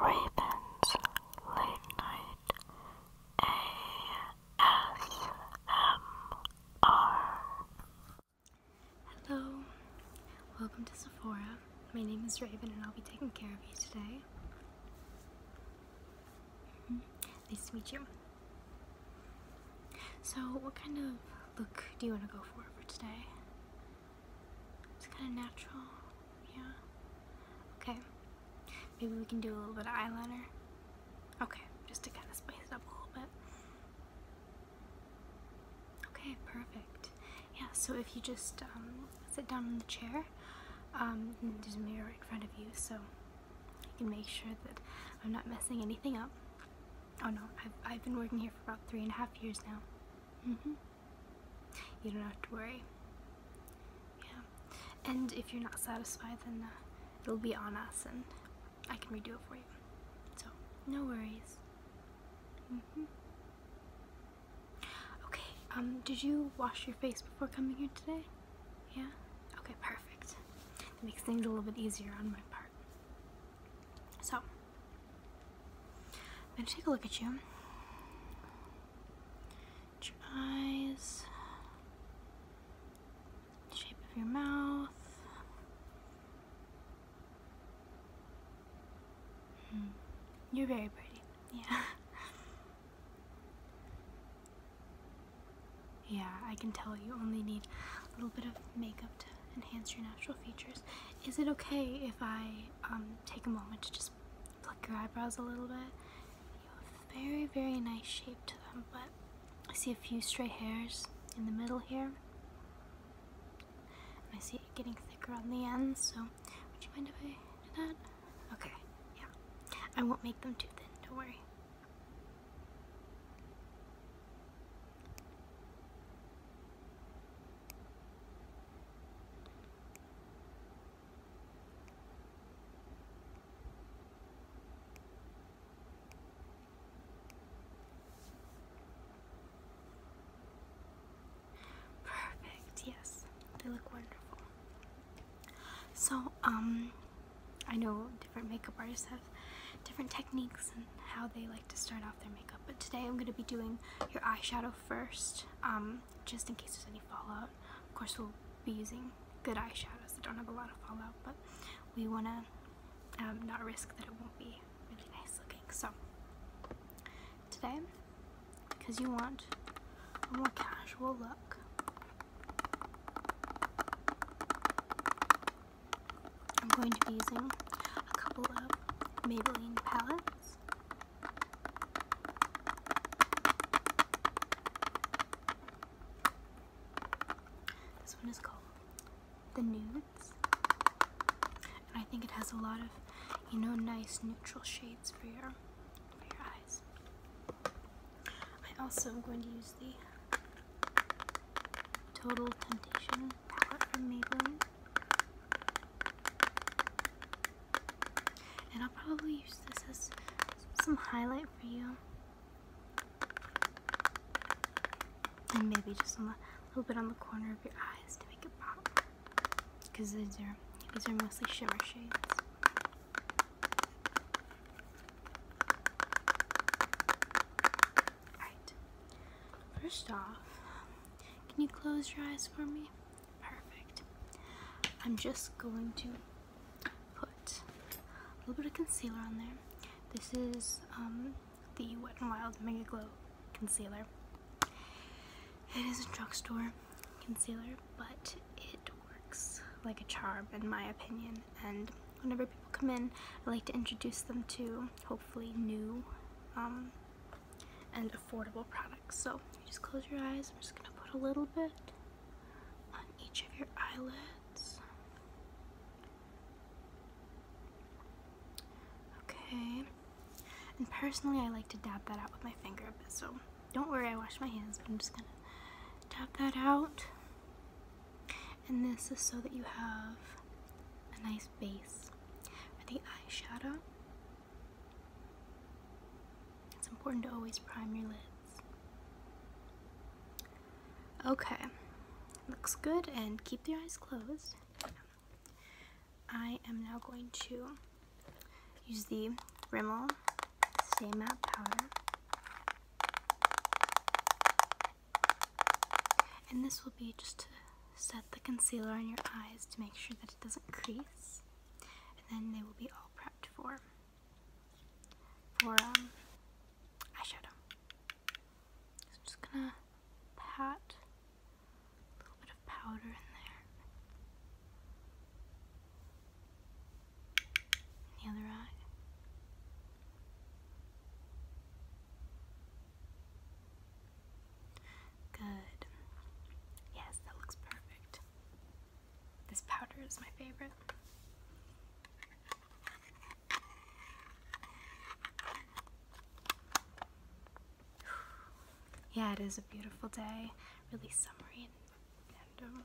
Raven's Late Night ASMR. Hello, welcome to Sephora. My name is Raven and I'll be taking care of you today. Mm-hmm. Nice to meet you. So, what kind of look do you want to go for for today? It's kind of natural, yeah. Okay, maybe we can do a little bit of eyeliner. Okay, just to kind of spice it up a little bit. Okay, perfect. Yeah, so if you just um, sit down in the chair, um, there's a mirror in front of you, so you can make sure that I'm not messing anything up. Oh no, I've, I've been working here for about three and a half years now. Mm-hmm. You don't have to worry. Yeah. And if you're not satisfied, then uh, it'll be on us and I can redo it for you. So, no worries. Mm-hmm. Okay, um, did you wash your face before coming here today? Yeah? Okay, perfect. It makes things a little bit easier on my part. So, I'm gonna take a look at you. your eyes, shape of your mouth. Hmm. You're very pretty. Yeah. yeah, I can tell you only need a little bit of makeup to enhance your natural features. Is it okay if I um, take a moment to just pluck your eyebrows a little bit. You have very, very nice shape to them, but I see a few stray hairs in the middle here. I see it getting thicker on the ends, so would you mind if I do that? Okay, yeah. I won't make them too thin, don't worry. Perfect, yes, they look wonderful. So, um, I know different makeup artists have different techniques and how they like to start off their makeup, but today I'm going to be doing your eyeshadow first. Um, just in case there's any fallout. Of course, we'll be using good eyeshadows that don't have a lot of fallout, but we want to um, not risk that it won't be really nice looking. So today, because you want a more casual look, I'm going to be using a couple of Maybelline palettes. This one is called The Nudes. And I think it has a lot of, you know, nice neutral shades for your, for your eyes. I also am going to use the Total Temptation palette from Maybelline. And I'll probably use this as some highlight for you. And maybe just a little bit on the corner of your eyes to make it pop. Because these are, these are mostly shimmer shades. Alright. First off, can you close your eyes for me? Perfect. I'm just going to put a little bit of concealer on there. This is um, the Wet n Wild Mega Glow Concealer. It is a drugstore concealer, but it works like a charm in my opinion. And whenever people come in, I like to introduce them to hopefully new um, and affordable products. So just close your eyes. I'm just going to put a little bit on each of your eyelids. Okay. And personally, I like to dab that out with my finger a bit. So don't worry, I wash my hands, but I'm just going to dab that out. And this is so that you have a nice base for the eyeshadow. It's important to always prime your lids. Okay, looks good and keep your eyes closed. I am now going to use the Rimmel Stay Matte Powder. And this will be just to set the concealer on your eyes to make sure that it doesn't crease and then they will be all prepped for for um, eyeshadow. So I'm just gonna pat a little bit of powder in there. the other eye. Good. Yes, that looks perfect. This powder is my favorite. Yeah, it is a beautiful day. Really summery um,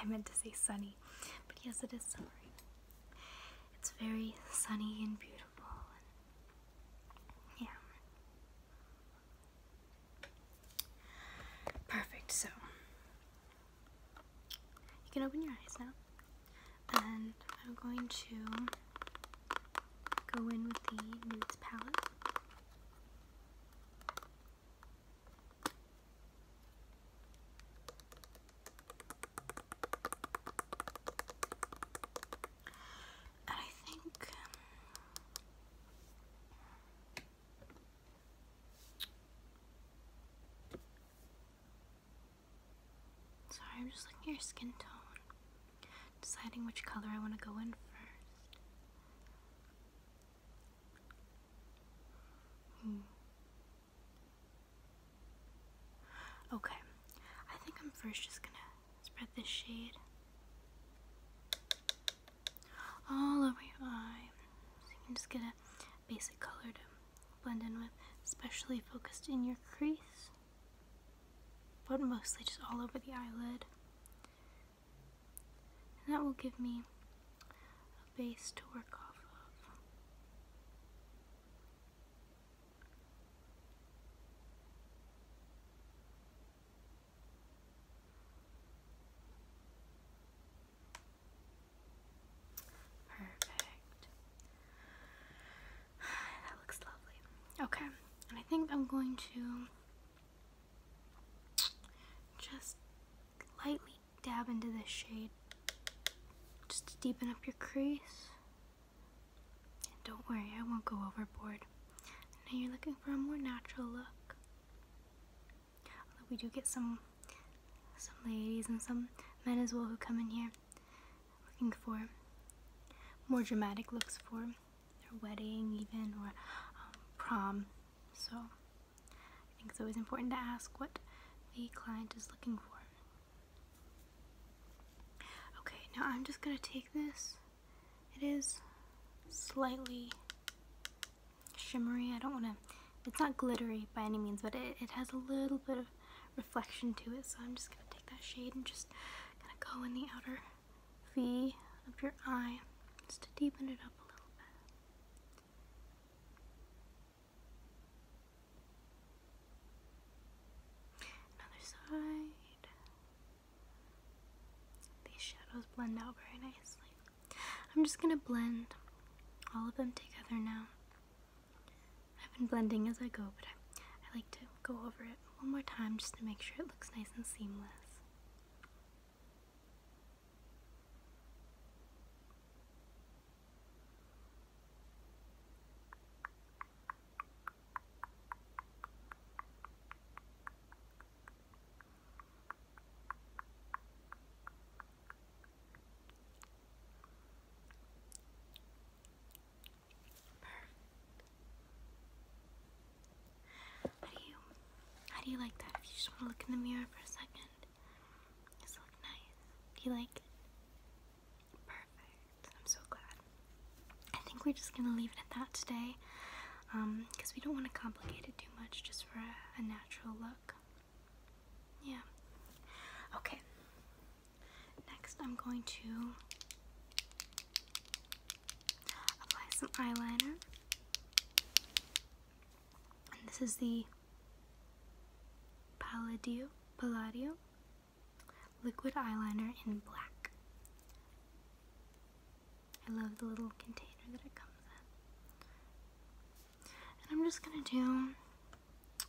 I meant to say sunny, but yes, it is summery. It's very sunny and beautiful. yeah. Perfect, so you can open your eyes now. And I'm going to go in with the nudes palette. I think um, Sorry, I'm just looking your skin tone. Deciding which color I want to go in first. Hmm. Okay, I think I'm first just gonna Spread this shade all over your eye. So you can just get a basic color to blend in with, especially focused in your crease, but mostly just all over the eyelid. And that will give me a base to work off of. Perfect. That looks lovely. Okay, and I think I'm going to just lightly dab into the shade just to deepen up your crease. And don't worry, I won't go overboard. Now you're looking for a more natural look. we do get some some ladies and some men as well who come in here looking for more dramatic looks for their wedding even or um, prom. So I think it's always important to ask what the client is looking for. Okay, now I'm just going to take this it is slightly shimmery. I don't want to, it's not glittery by any means, but it, has a little bit of reflection to it. So I'm just going to take that shade and just kind of go in the outer V of your eye just to deepen it up a little bit. Another side. These shadows blend out very nicely. I'm just gonna blend all of them together now. I've been blending as I go, but I, like to go over it one more time just to make sure it looks nice and seamless. How do you how do you like that? If you just want to look in the mirror for a second. Just look nice. Do you like it? Perfect. I'm so glad. I think we're just gonna leave it at that today, because um, we don't want to complicate it too much just for a, natural look. Yeah. Okay. Next, I'm going to apply some eyeliner. this is the Palladio, Palladio liquid eyeliner in black. I love the little container that it comes in. And I'm just gonna do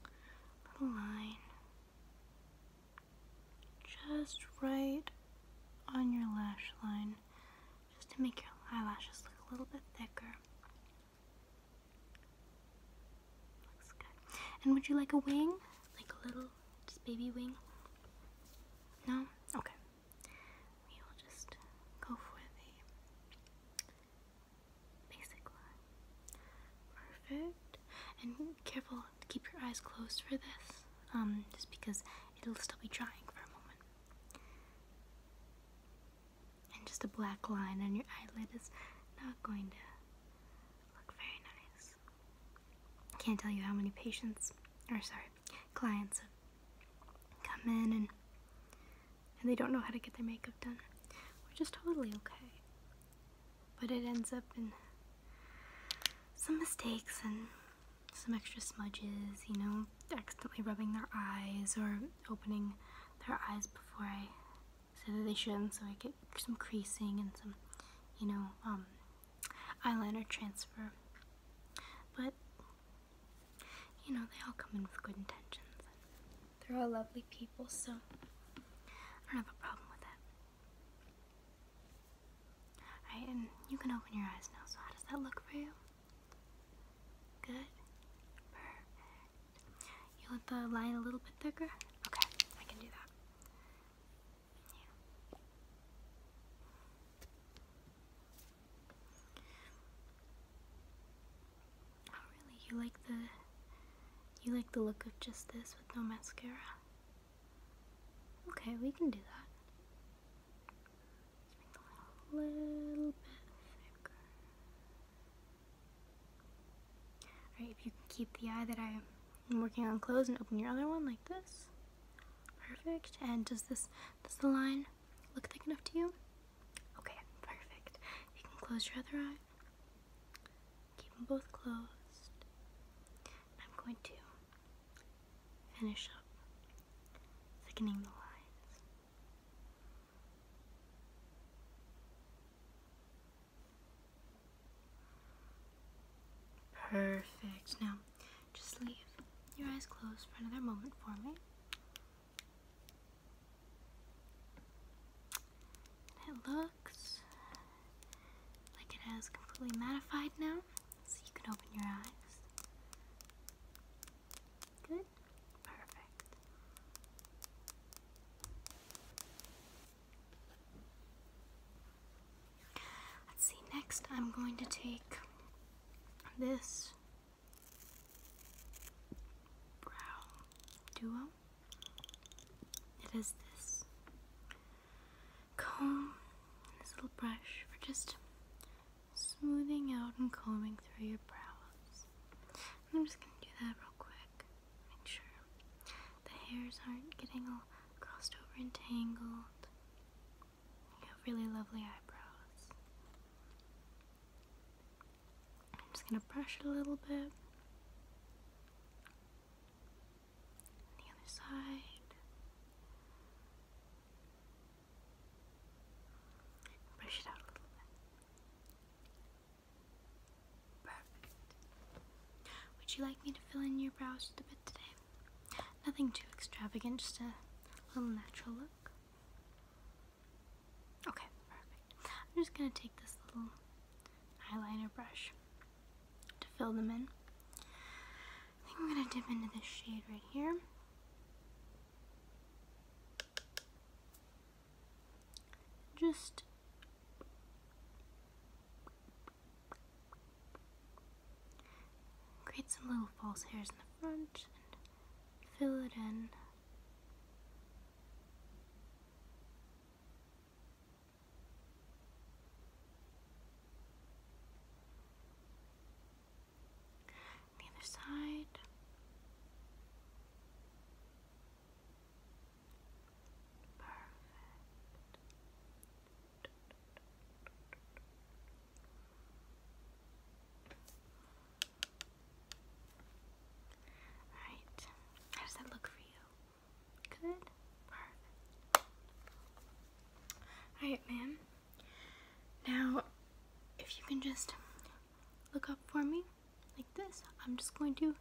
a little line just right on your lash line just to make your eyelashes look a little bit thicker. Looks good. And would you like a wing? Like a little just baby wing? No? Okay. We will just go for the basic line. Perfect. And careful to keep your eyes closed for this, um, just because it'll still be drying for a moment. And just a black line on your eyelid is not going to look very nice hours. Can't tell you how many patients, or sorry, clients come in and and they don't know how to get their makeup done, We're just totally okay. But it ends up in some mistakes and some extra smudges, you know, accidentally rubbing their eyes or opening their eyes before I said that they shouldn't, so I get some creasing and some, you know, um, eyeliner transfer. But, you know, they all come in with good intentions. They're all lovely people, so I don't have a problem with that. and you can open your eyes now. So, how does that look for you? Good. Perfect. You want the line a little bit thicker? Okay, I can do that. Oh, you like the you like the look of just this with no mascara? Okay, we can do that. Alright, if you can keep the eye that I I'm working on close and open your other one like this. Perfect. And does this, does the line look thick enough to you? Okay, perfect. You can close your other eye. Keep them both closed. I'm going to finish up thickening the lines. Perfect. Now, just leave your eyes closed for another moment for me. It looks like it has completely mattified now, so you can open your eyes. Good? Perfect. Let's see, next I'm going to take this brow duo. It is this comb and this little brush for just smoothing out and combing through your brows. I'm just going to do that real quick. Make sure the hairs aren't getting all crossed over and tangled. You have really lovely eyebrows. I'm just going to brush it a little bit. The other side. Brush it out a little bit. Perfect. Would you like me to fill in your brows a bit today? Nothing too extravagant, just a little natural look. Okay, perfect. I'm just gonna take this little eyeliner brush to fill them in. I think I'm gonna dip into this shade right here. Just Create some little false hairs in the front and fill it in. The other side. Perfect. Alright, how does that look for you? Good? Alright, ma'am. Now, if you can just look up for me like this, I'm just going to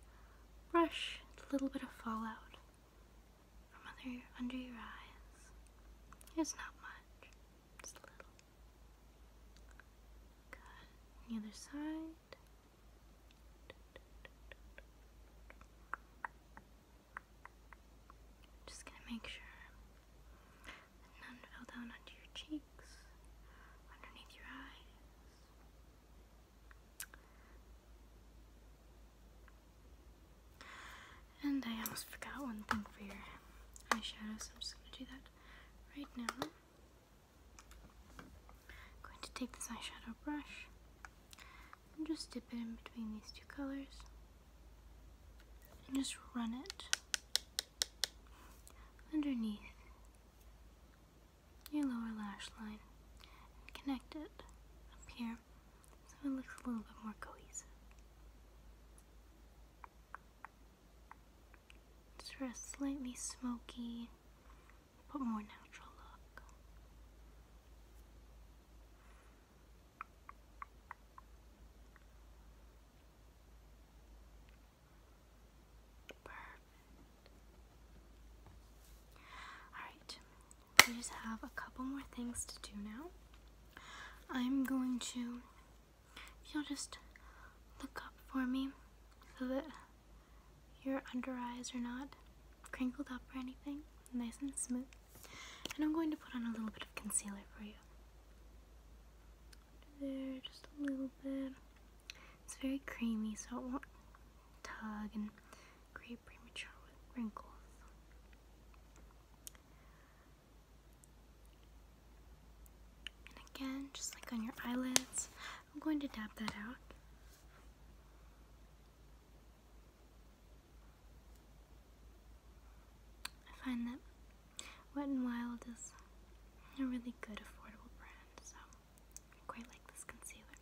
brush a little bit of fallout under your eyes. It's not much, it's little. Good. On the other side. Just gonna make sure none fell down onto your cheeks, underneath your eyes. And I almost forgot one thing for your eyeshadow, so I'm just going to do that right now. I'm going to take this eyeshadow brush and just dip it in between these two colors and just run it underneath your lower lash line and connect it up here so it looks a little bit more cohesive. Just for a slightly smoky but more natural look. Perfect. Alright, I just have a couple more things to do now. I'm going to, if you'll just look up for me so that your under eyes are not crinkled up or anything, nice and smooth. And I'm going to put on a little bit of concealer for you. there, just a little bit. It's very creamy, so it won't tug and create premature wrinkles. And again, just like on your eyelids, I'm going to dab that out. I find that Wet n Wild is a really good affordable brand, so I quite like this concealer.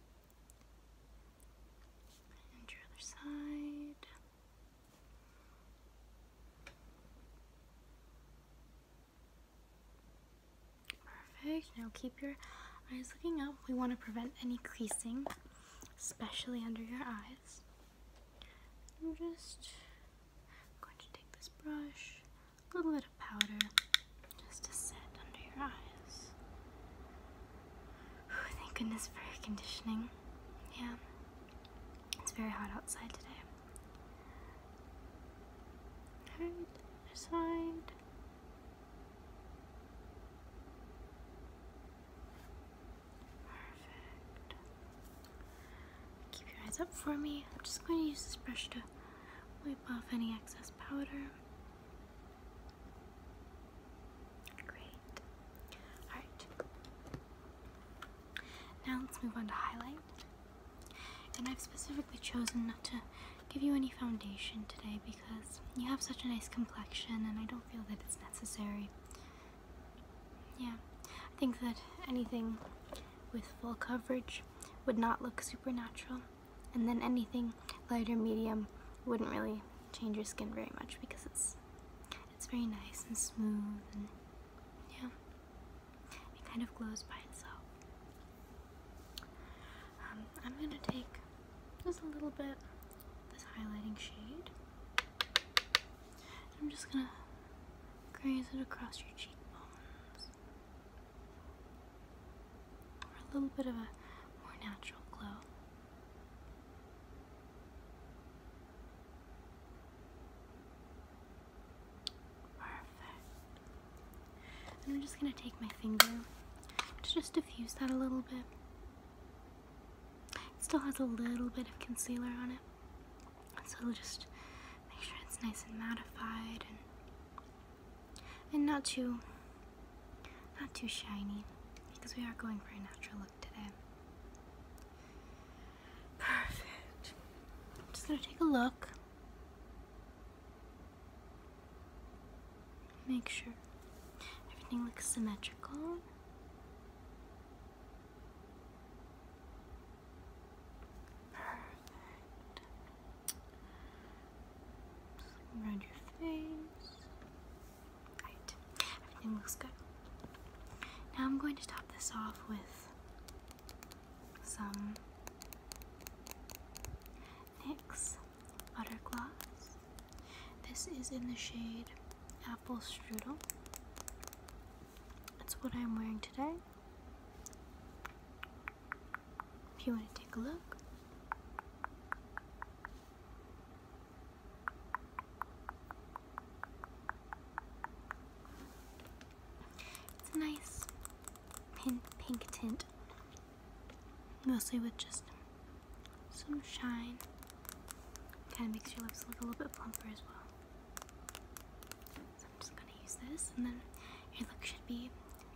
And your other side. Perfect. Now keep your eyes looking up. We want to prevent any creasing, especially under your eyes. I'm just going to take this brush, a little bit of powder, just to set under your eyes. Oh, thank goodness for air conditioning. Yeah, it's very hot outside today. other side. Perfect. Keep your eyes up for me. I'm just going to use this brush to wipe off any excess powder. Great. Alright. Now let's move on to highlight. And I've specifically chosen not to give you any foundation today because you have such a nice complexion and I don't feel that it's necessary. Yeah, I think that anything with full coverage would not look supernatural and then anything lighter medium wouldn't really change your skin very much because it's it's very nice and smooth and yeah it kind of glows by itself um, I'm gonna take just a little bit this highlighting shade I'm just gonna graze it across your cheekbones for a little bit of a more natural glow Perfect. I'm just going to take my finger to just diffuse that a little bit. It still has a little bit of concealer on it. So we'll just make sure it's nice and mattified and and not too not too shiny because we are going for a natural look. Perfect. just gonna take a look. Make sure everything looks symmetrical. Perfect. around your face. Alright, everything looks good. Now I'm going to top this off with some NYX Butter Gloss. This is in the shade Apple Strudel. That's what I'm wearing today. If you want to take a look. It's a nice pink, pink tint, mostly with just some shine. Kind of makes your lips look a little bit plumper as well. So I'm just going to use this, and then your look should be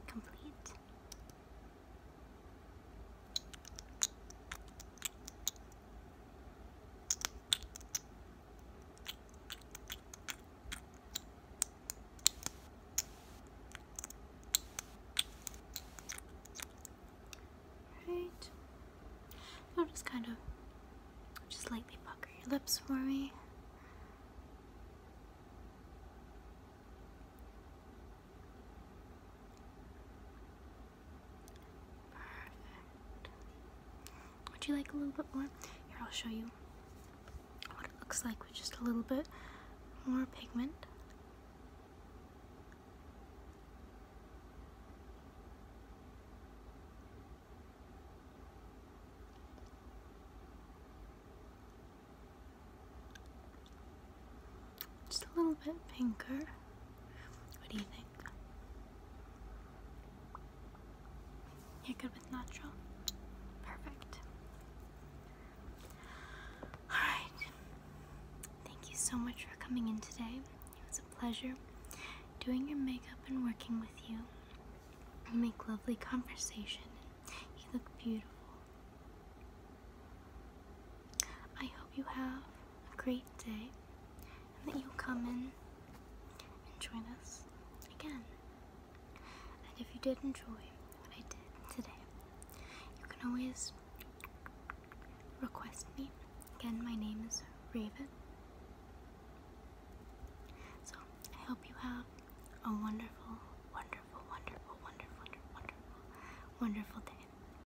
complete. Right. I'll just kind of just lightly pucker your lips for me. Would you like a little bit more? Here, I'll show you what it looks like with just a little bit more pigment. Just a little bit pinker. What do you think? You're good with natural? Perfect. Alright. Thank you so much for coming in today. It was a pleasure doing your makeup and working with you. You make lovely conversation. You look beautiful. I hope you have a great day and that you'll come in and join us again. And if you did enjoy what I did today, you can always request me. Again, my name is Raven. So I hope you have a wonderful, wonderful, wonderful, wonderful, wonderful, wonderful day.